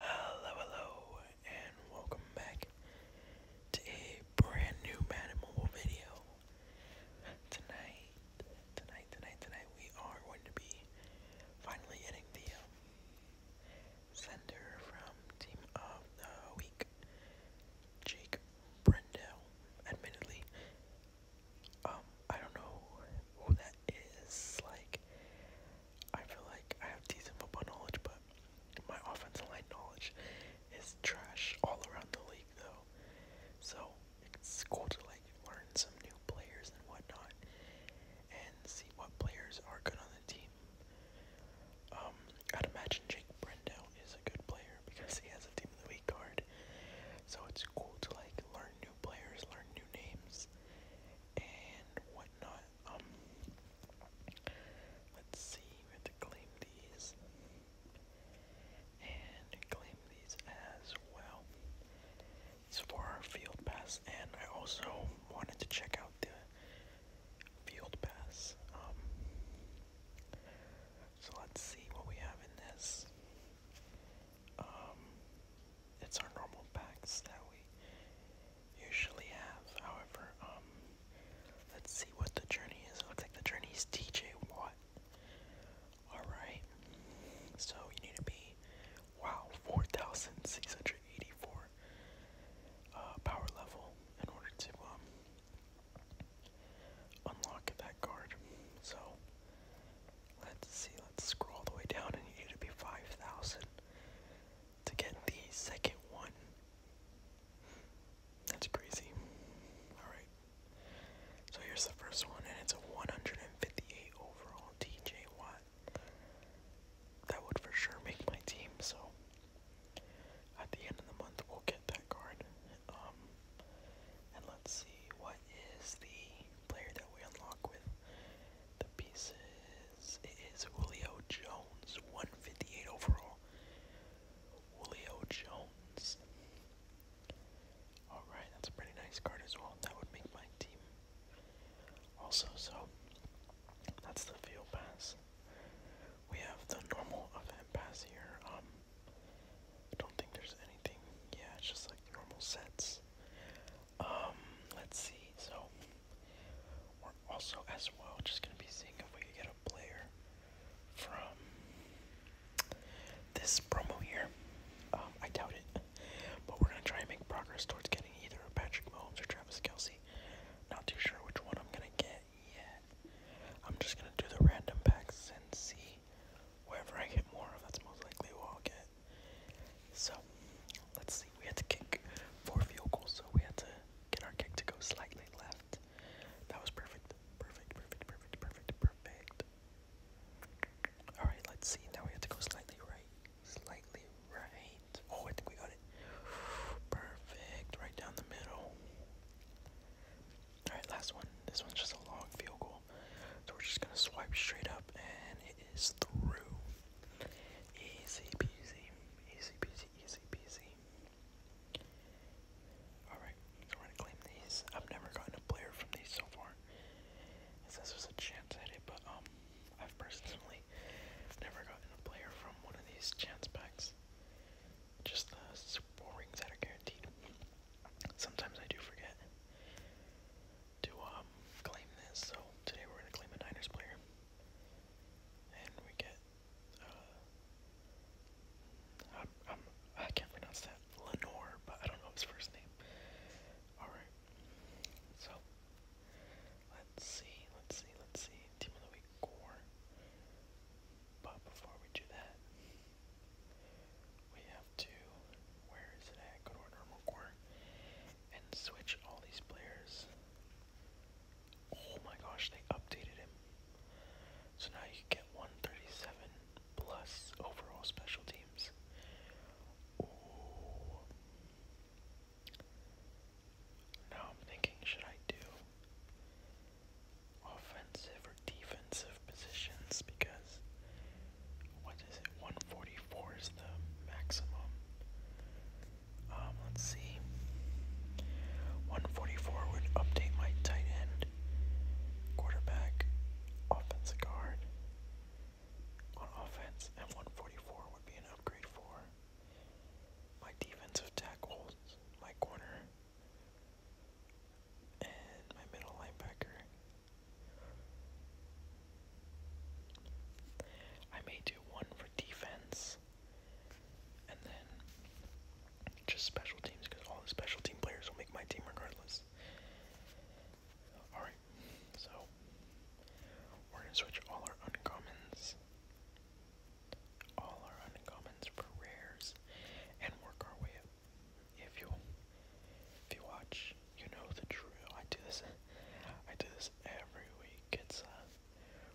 Hello, hello, and welcome back to a brand new Mad Mobile video. Tonight, tonight, tonight, tonight, we are going to be finally hitting the um, sender from Team of the Week, Jake Brendel. Admittedly, um, I don't know who that is like I feel like I have decent football knowledge, but my offensive line knowledge is trash all around the league, though. So it's cool to like learn some new players and whatnot, and see what players are good on the team. Um, I'd imagine Jake Brendow is a good player because he has a team of the week card. So it's cool to like learn new players, learn new names, and whatnot. Um, let's see, we have to claim these. And claim these as well. It's for our field pass, and I also wanted to check out the field pass. Um, so let's see what we have in this. Um, it's our normal packs that we usually have. However, um, let's see what the journey is. looks like the journey is TJ Watt. Alright, so you need to be, wow, 4,684 uh, power level in order to um, unlock that card. So, Let's see, let's scroll all the way down and you need to be 5,000 to get the second one. That's crazy. Alright. So here's the first one, and it's a 158 overall TJ Watt. That would for sure make my team, so at the end of the month we'll get that card. Um, and let's see, what is the player that we unlock with the pieces is Julio Jones, 158 overall. Julio Jones. Alright, that's a pretty nice card as well. That would make my team also so. That's the field pass. We have the normal event pass here. Um don't think there's anything. Yeah, just like normal sets. Um, let's see. So we're also as well just gonna be seeing if we can get a player from this promo here. Um, I doubt it, but we're gonna try and make progress towards getting either Patrick Mahomes or Travis Kelsey. Not too sure which one I'm gonna get yet. I'm just gonna do the random packs and see wherever I get more of, that's most likely what I'll get. So, let's see. We had to kick four field goals, so we had to get our kick to go slightly left. That was perfect. Perfect, perfect, perfect, perfect, perfect. Alright, let's see. Now we have to go slightly right. Slightly right. Oh, I think we got it. Perfect. Right down the middle. Alright, last one. This one's just a long field goal. So we're just gonna swipe straight up and it is through. Easy peasy, easy peasy, easy peasy. Alright, so we're gonna claim these. I've never gotten a player from these so far. It says there's a chance at it, but um I've personally never gotten a player from one of these chance packs. Just the super rings that are guaranteed. Sometimes I do forget to um, claim this, so today we're going to claim a Niners player. And we get, uh, I'm, I'm, I i can not pronounce that, Lenore, but I don't know his first name. Alright, so, let's see, let's see, let's see, Team of the Week 4. But before we do that, we have to, where is it at? Go to our normal core and switch all these players. Oh my gosh, they updated him. So now you get 137 plus overall special teams. Now I'm thinking, should I do offensive defensive positions because what is it? 144 is the maximum. Um, let's see. 144 would update my tight end, quarterback, offensive guard on offense, and 144 would be an upgrade for my defensive tackles, my corner, and my middle linebacker. I may do one for defense and then just special teams because all special team players will make my team regardless. Alright, so we're going to switch all our uncommons, all our uncommons for rares, and work our way up. If you if you watch, you know the drill. I do this I do this every week. It's a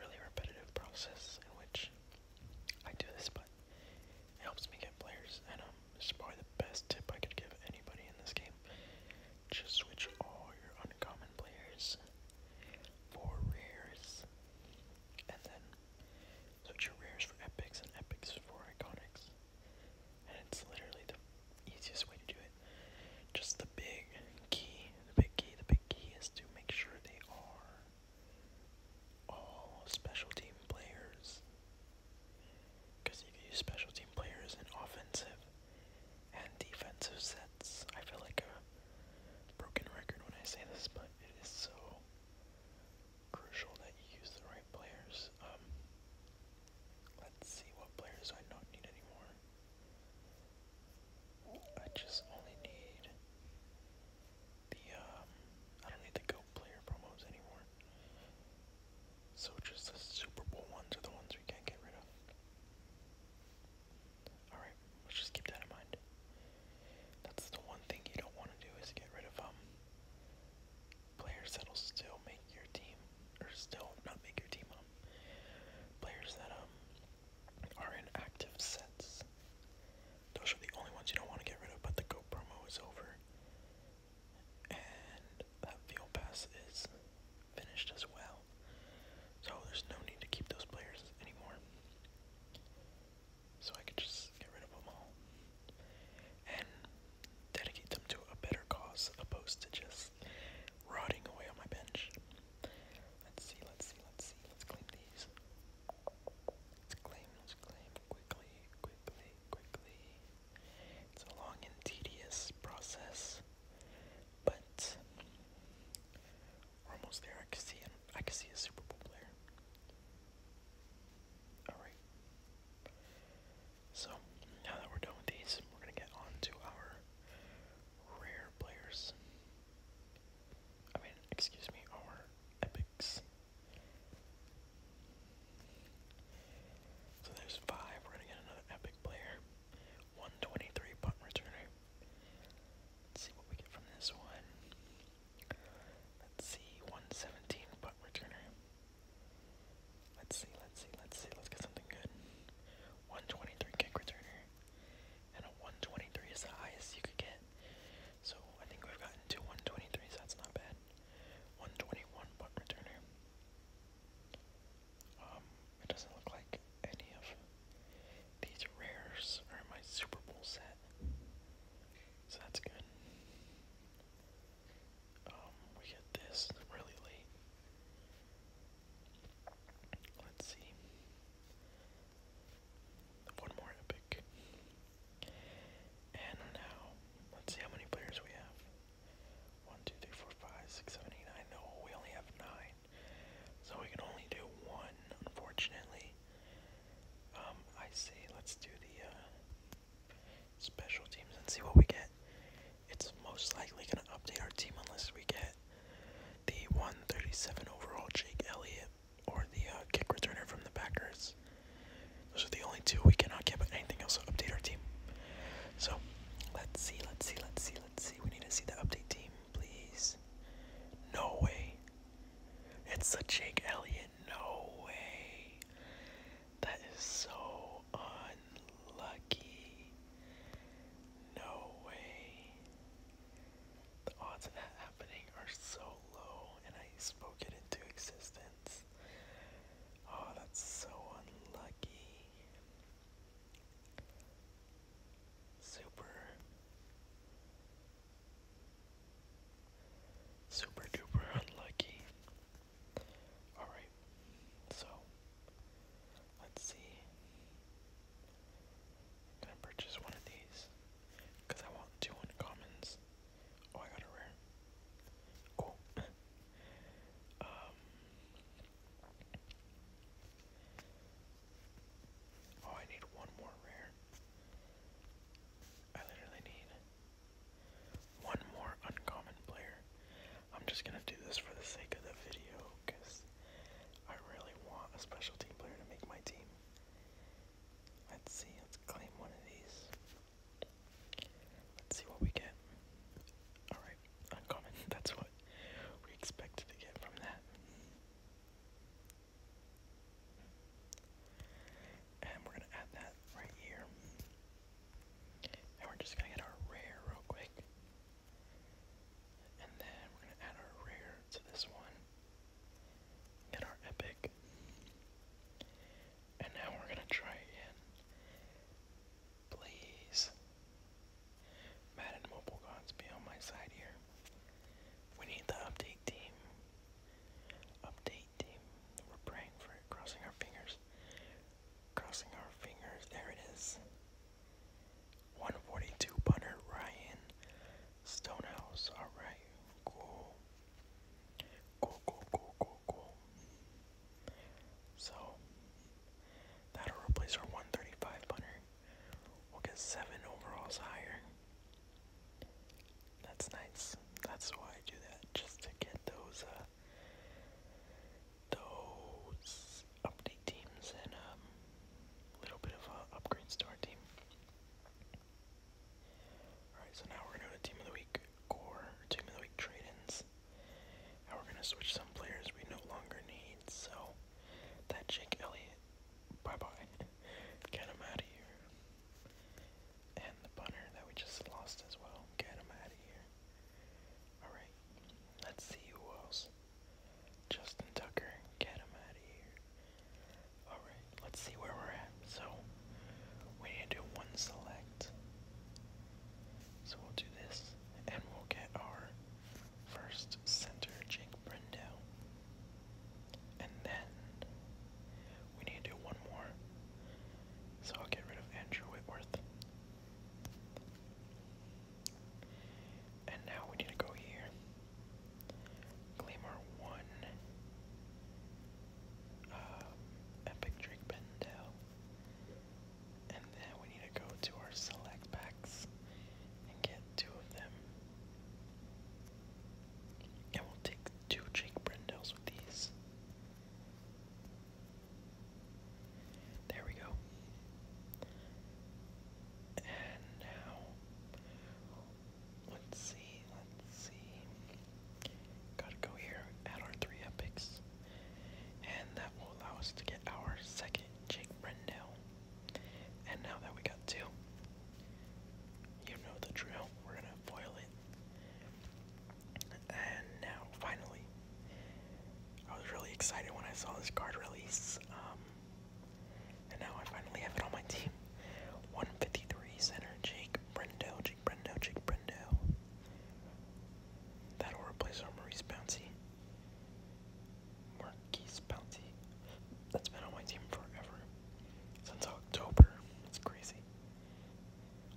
really repetitive process in which I do this, but it helps me get players, and um, it's probably the best tip I could give anybody in this game. Just switch all your uncommon players for rares, and then so two rares for epics and epics for iconics. And it's literally the easiest way to do it. Just the big key, the big key, the big key is to make sure they are all special team players. Because if you use special team players in offensive and defensive sets. I feel like a broken record when I say this, but it is so crucial that you use the right players. Um, let's see what players I don't need anymore. I just only need the um I don't need the go player promos anymore. So just the Super Bowl ones are the ones we can't get rid of. Alright, let's just keep that in mind. That's the one thing you don't want to do is get rid of um players that'll still make your team or still not make your team um players that um are in active sets. Those are the only ones you don't want to get rid of, but the go promo is over. And that field pass is finished as well. So there's no need to keep those players anymore so I could just get rid of them all and dedicate them to a better cause opposed to just rotting away on my bench. Let's see, let's see, let's see, let's claim these. Let's claim, let's claim quickly, quickly, quickly. It's a long and tedious process, but we're almost there. I can see him. I can see a Super Bowl player. Alright. So, now that we're done with these, we're going to get on our rare players. I mean, excuse me, our epics. So there's five. We're going to get another epic player. 123 punt returner. see what we get from this one. Let's see, 117 punt returner. Let's see, let's see, let's see, let's get something good. 123 kick returner. And a 123 is the highest you could get. So I think we've gotten to one twenty three. so that's not bad. 121 punt returner. Um, it doesn't look like any of these rares are in my Super Bowl set. So that's good. Um, we get this really late. Let's see. One more epic. And now, let's see how many players we have. One, two, three, four, five, six, seven, eight, nine. No, we only have nine. So we can only do one, unfortunately. Um, I see. Let's do the uh, special teams and see what we get. It's most likely going to update our team unless we get the 137 overall Jake Elliott or the uh, kick returner from the Packers. Those are the only two we cannot get, but anything else will update our team. So let's see, let's see, let's see, let's see. We need to see the update team please. No way. It's a Jake Elliot. No way. That is so unlucky. No way. The odds of that happening are so low, and I spoke it into existence. Oh, that's so unlucky. Super. Super duper unlucky. Alright, so let's see. gonna purchase one of these because I want two uncommons. Oh, I got a rare. Cool. Um, Oh, I need one more rare. I literally need one more uncommon player. I'm just gonna do this for the sake of the video, because I really want a special team player to make my team. Let's see, let's claim one of these. Let's see what we get. Alright, uncommon. That's what we expected to get from that. And we're gonna add that right here. And we're just gonna get our rare real quick. And then we're gonna add our rare to this one. Get our epic. And now we're gonna try again. Please. Madden Mobile Gods be on my side here. We need the update team. Update team. We're praying for it, crossing our fingers. Crossing our fingers. There it is. 142 Butter Ryan Stonehouse. Alright. Cool. Cool, cool, cool, cool, So, that'll replace our 135 Butter. We'll get seven overalls higher. That's nice. That's why I do that, just to get those uh those update teams and a um, little bit of uh, upgrades to team. Alright, so now we're gonna go to team of the week core, team of the week trade-ins. Now we're gonna switch some players we no longer need, so that Jake Elliott, bye bye. Get him out of here. And the punter that we just lost as well. Get him out of here. Alright, let's see who else. Justin Tucker, get him out of here. Alright, let's see where we're at. So, we need to do one select. So we'll do this, and we'll get our first center Jake Brendo. And then we need to do one more. So I'll get rid of Andrew Whitworth. And now we need to go here. Gleamer 1. Um, Epic Drake Bendel. And then we need to go to our select packs and get two of them. And we'll take two Jake Brindles with these. There we go. And now, let's see, let's see. Gotta go here, add our three epics. And that will allow us to get our second Jake Brendel. And now that we got two, you know the drill. We're gonna foil it. And now, finally, I was really excited when I saw this card release. Um, and now I finally have it on my team. 153 center, Jake Brendo, Jake Brendo, Jake Brendo. That'll replace our Maurice Bouncy. Marquise Bouncy. That's been on my team forever. Since October. It's crazy.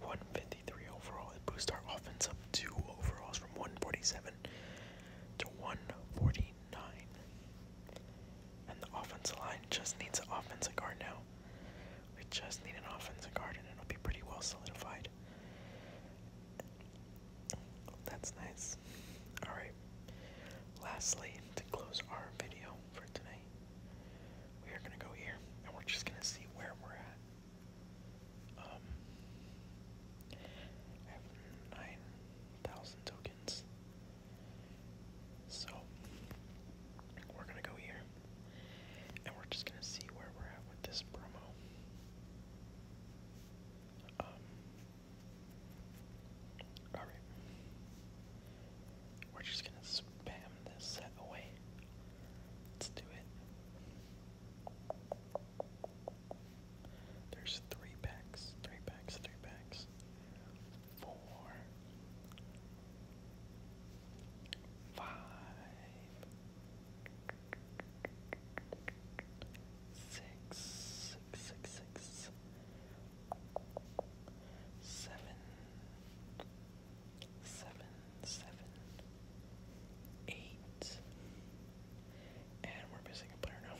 153 overall. It boosts our offense up two overalls from 147 to 149. And the offensive line just needs an offensive guard now. We just need an offensive guard and it'll be pretty well solidified. That's nice. Alright. Lastly, to close our video for tonight, we are going to go here and we're just going to see where we're at. Um, 9,000 tokens. So, we're going to go here and we're just gonna see where we're at with this promo. Um, all right, we're just gonna spam this set away. Let's do it. There's three packs, three packs, three packs, four, five, six, six, six, six, seven, seven, seven, eight, and we're missing a player now.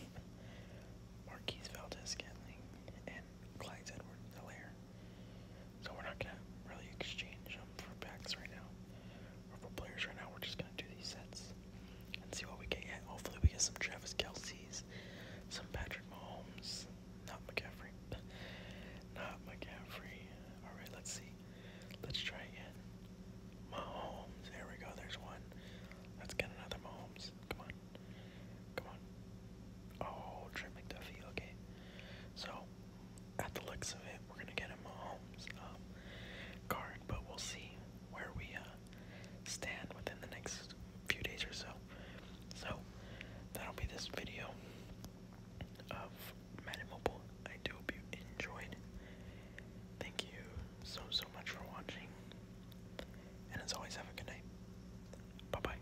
Marquise Valdez Scantling and Clyde Edward Hilaire. So we're not gonna really exchange them for packs right now, or for players right now. We're just gonna do these sets and see what we can get. Hopefully, we get some Travis Kelsey's, some Patrick Mahomes, not McCaffrey, not McCaffrey. All right, let's see. Let's try again. Mahomes. There we go. There's one. Let's get another Mahomes. Come on. Come on. Oh, Trent McDuffie. Okay. So at the looks of it, we're gonna get him Mahomes um, card, but we'll see where we uh, stand within the next few days or so. So that'll be this video of Madden Mobile. I do hope you enjoyed. Thank you so so much for watching, and as always, have a good night. Bye bye.